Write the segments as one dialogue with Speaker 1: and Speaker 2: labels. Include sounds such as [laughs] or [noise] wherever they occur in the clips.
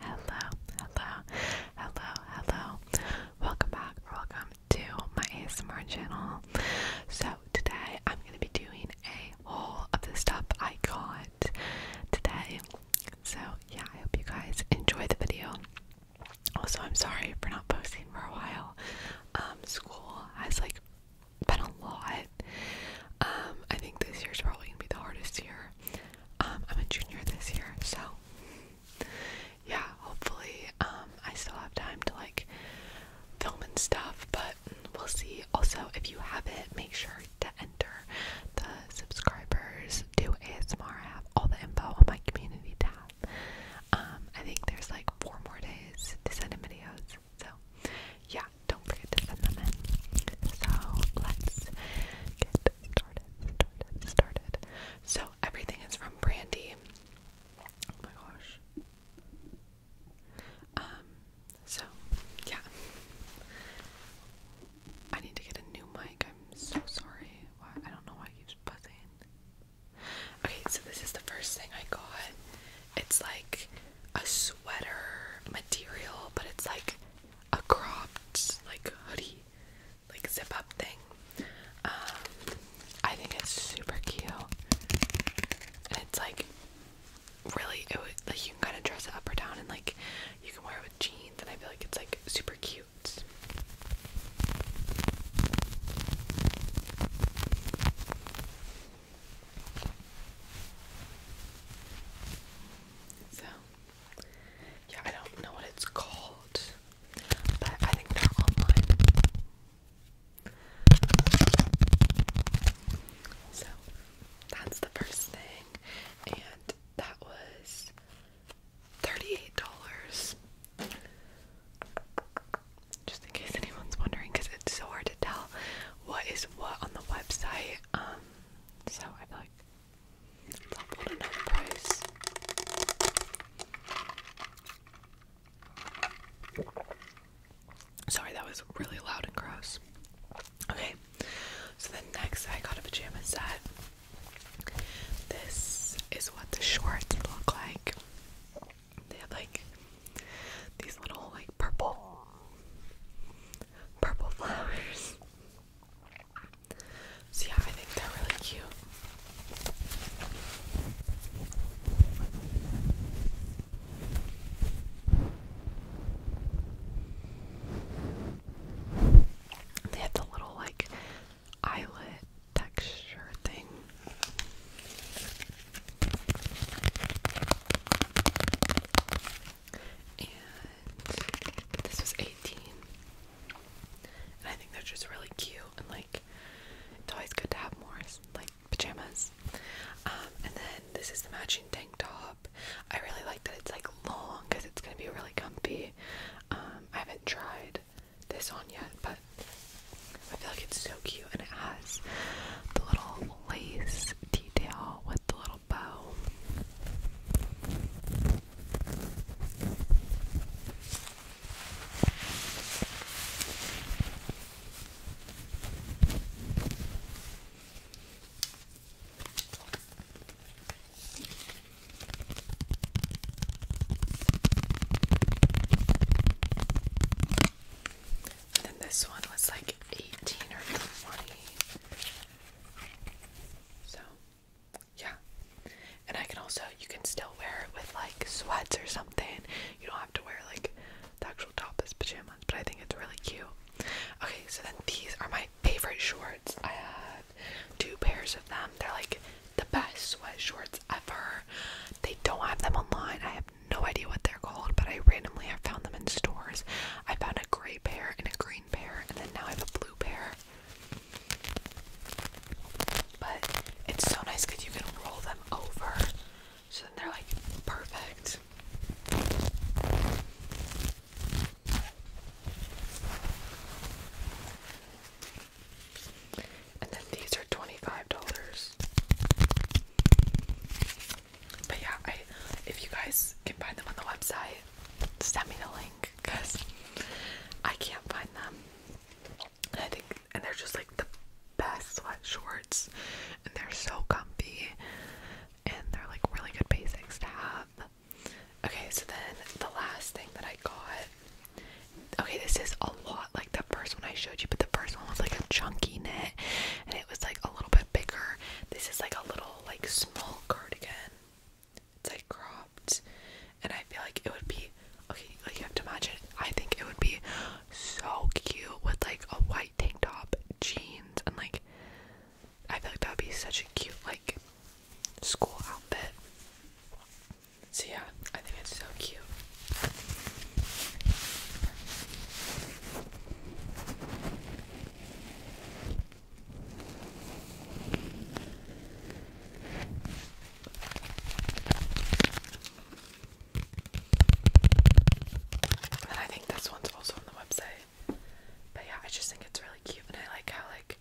Speaker 1: Hello, hello, hello, hello. Welcome back or welcome to my ASMR channel. So today I'm gonna be doing a haul of the stuff I got today. So yeah, I hope you guys enjoy the video. Also, I'm sorry for not posting for a while. Um, school has like been a lot. Um, I think this year's probably gonna be the hardest year um, I'm a junior this year, so yeah, hopefully, um, I still have time to like film and stuff, but we'll see. Also, if you have it, make sure to enter the subscribers do ASMR. I have all the info on my community tab. Um, I think there's like four more days to send in videos, so yeah, don't forget to send them in. So let's get started, started, started. So everything is from Brandy. Oh my gosh. Um, so yeah. I need to get a new mic. I'm so sorry. I don't know why it keeps buzzing. Okay, so this is the first thing I got. It's like a sweater material, but it's like a cropped like hoodie, like zip up thing. Um, I think it's super cute. And it's like really it would like you can kind of dress it up or down and like you can wear it with jeans and I feel like it's like super cute. So, yeah, I don't know what it's called, but I think they're online. So, that's the first thing, and that was $38. Just in case anyone's wondering, because it's so hard to tell what is what on the website. Um, so I feel like it's helpful to know the price. Sorry, that was really loud and gross. Okay, so the next I got a pajama set. This is what the shorts look like. They have like these little like purple purple flowers. See how I think they're really cute. They have the little like eyelet texture thing. And this was 18. I think they're just really cute and like it's always good to have more like pajamas. Um, and then this is the matching tank top. I really like that it's like long because it's gonna be really comfy. Um, I haven't tried this on yet, but I feel like it's so cute and it has the little lace detail with the little bow. And then this one was like 18 or 20. So, yeah. And I can also, you can still wear it with like sweats or something. You don't have to wear like the actual top as pajamas, but I think it's really cute. Okay, so then these are my favorite shorts. I have two pairs of them. They're like the best sweat shorts ever. They don't have them online. I have no idea what they're called, but I randomly have found them in stores. I found a gray pair and a green pair, and then now I have a blue pair. But it's so nice because you can roll them over, so they're like perfect. And then these $25. But yeah, I if you guys can find them on the website, send me the link because I can't find them. And I think and they're just like the best sweat shorts and they're so comfy and they're like really good basics to have. Okay, so then the last thing that I got. Okay, this is all lot like the first one I showed you, but the first one was like a chunky knit and it was like a little bit bigger. This is like a little like small cardigan. It's like cropped and I feel like it would be okay, like you have to imagine I think it would be so cute with like a white tank top, jeans and like I feel like that would be such a cute like school outfit. So yeah, I think it's so cute. And I think this one's also on the website. But yeah, I just think it's really cute and I like how like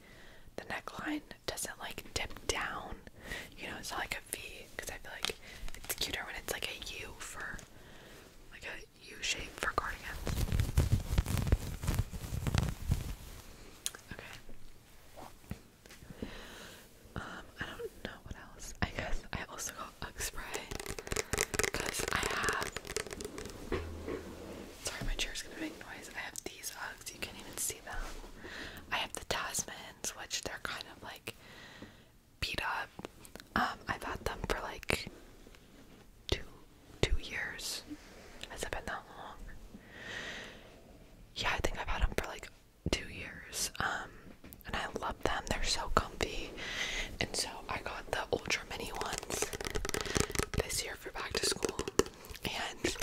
Speaker 1: the neckline doesn't like dip down you know, it's not like a V because I feel like it's cuter when it's like a U for like a U shape for cardigans. Okay. Um, I don't know what else. I guess I also got Ugg spray because I have. Sorry, my chair's gonna make noise. I have these Uggs. You can't even see them. I have the Tasmans, which they're kind of like beat up. Um, I've had them for like two two years. Has it been that long? Yeah, I think I've had them for like two years. Um, and I love them. They're so comfy. And so I got the ultra mini ones this year for back to school. And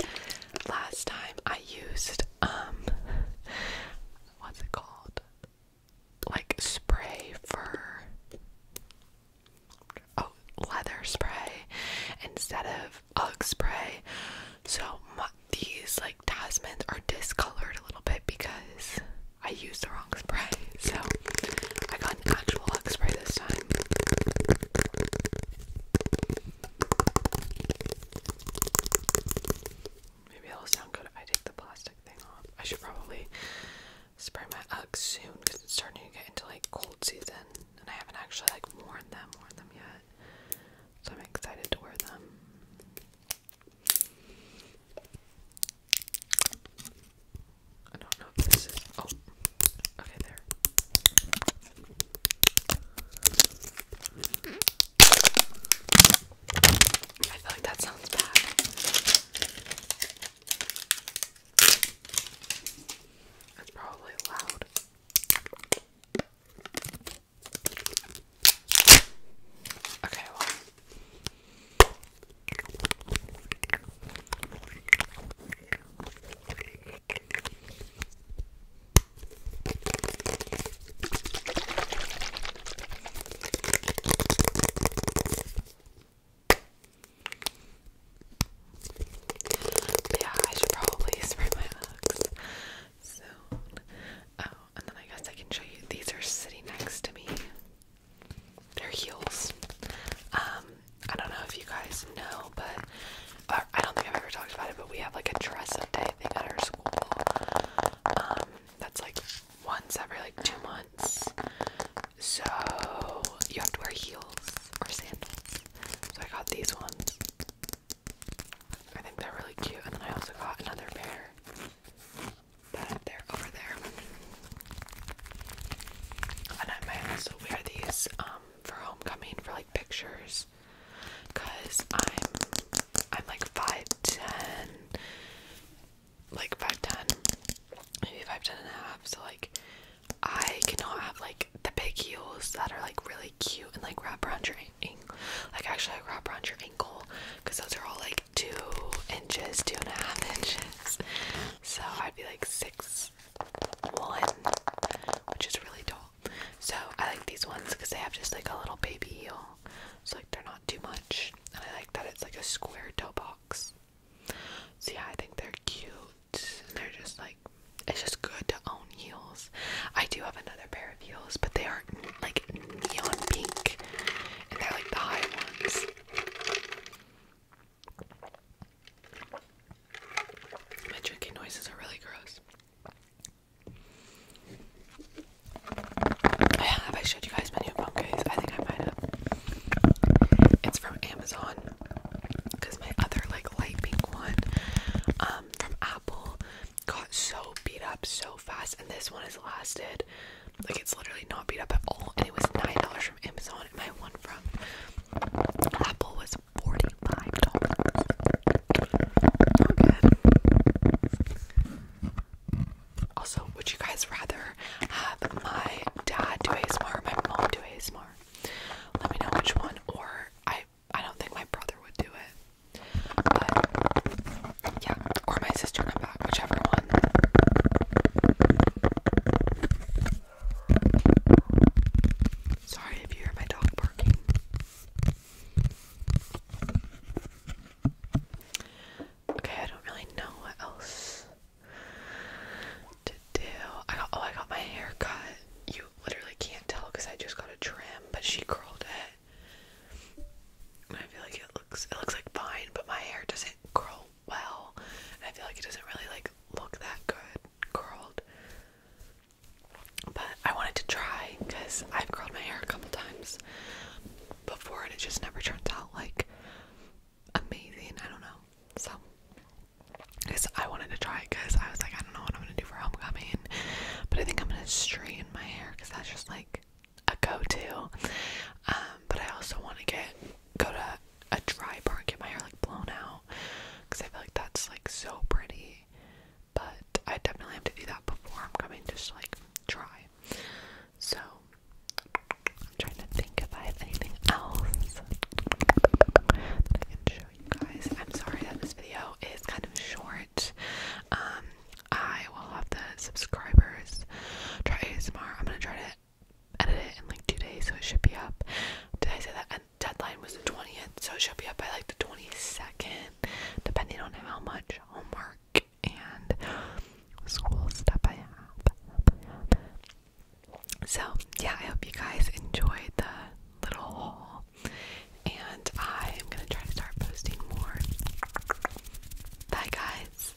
Speaker 1: last time I used um [laughs] what's it called? Like spray for oh leather spray instead of UGG spray. So these like Tasmans are discolored a little bit because I used the wrong spray. So I got an actual UGG spray this time. Maybe it'll sound good if I take the plastic thing off. I should probably spray my Uggs soon because it's starting to get into like cold season and I haven't actually like worn them, worn them yet. So I'm excited to wear them. I don't know if this is. Oh, okay, there. I feel like that sounds bad. It's probably loud. Okay, well. Yeah, I should probably [laughs] spray my looks soon. Oh, and then I guess I can show you these are sitting next to me. They're heels. Um, I don't know if you guys know, but I don't think I've ever talked about it, but we have like a dress up day thing at our school. Um, that's like once every like two months. So you have to wear heels or sandals. So I got these ones. I think they're really cute, and then I also got another pair that they're over there. And I might also wear these um, for homecoming for like pictures because I'm I'm like five ten like five ten maybe five ten and a half so like I cannot have like the big heels that are like really cute and like wrap around your ankle like actually like wrap around your ankle because those are all like two inches two and a half inches so I'd be like six one, which is really tall. So I like these ones because they have just like a little baby heel. So like they're not too much. And I like that it's like a square toe box. So yeah, I think they're cute. And they're just like it's just good to own heels. I do have another pair of heels, but they are like neon pink. And they're like the high ones. My drinking noises are really gross. Oh, have I showed you guys my new phone case. I think I might have. It's from Amazon. Cause my other like light pink one um, from Apple got so beat up so fast and this one has lasted like it's literally not beat up at all and it was nine dollars from Amazon my one from Apple was $45. Also, would you guys rather have my dad do ASMR my mom do ASMR? Let me know which one, or I I don't think my brother would do it. But yeah, or my sister and I, whichever one. Sorry if you hear my dog barking. Okay, I don't really know what else to do. I oh, I got my hair cut. You literally can't tell because I just got a trim, but she curled it. I feel like it looks it looks like fine, but my hair doesn't curl well. I feel like it doesn't really like look that good curled. But I wanted to try because I've curled my hair a couple times before and it just never turned out like amazing. I don't know. So because I wanted to try because I was like, I don't know what I'm gonna do for homecoming. But I think I'm gonna straighten my hair because that's just like a go-to. Um, but I also want to get go to a dry bar and get my hair like blown out because I feel like that's like so pretty. But I definitely have to do that before I'm coming, just to, like try. So I'm trying to think if I have anything else that I show you guys. I'm sorry that this video is kind of short. Um, I will have the subscribers try it tomorrow. I'm gonna try to edit it in like two days, so it should be up. Did I say that? And deadline was the 20th, so it should be up by like the 22nd, depending on how much homework and school stuff I have. So, yeah, I hope you guys enjoyed the little haul. And I am going to try to start posting more. Bye, guys.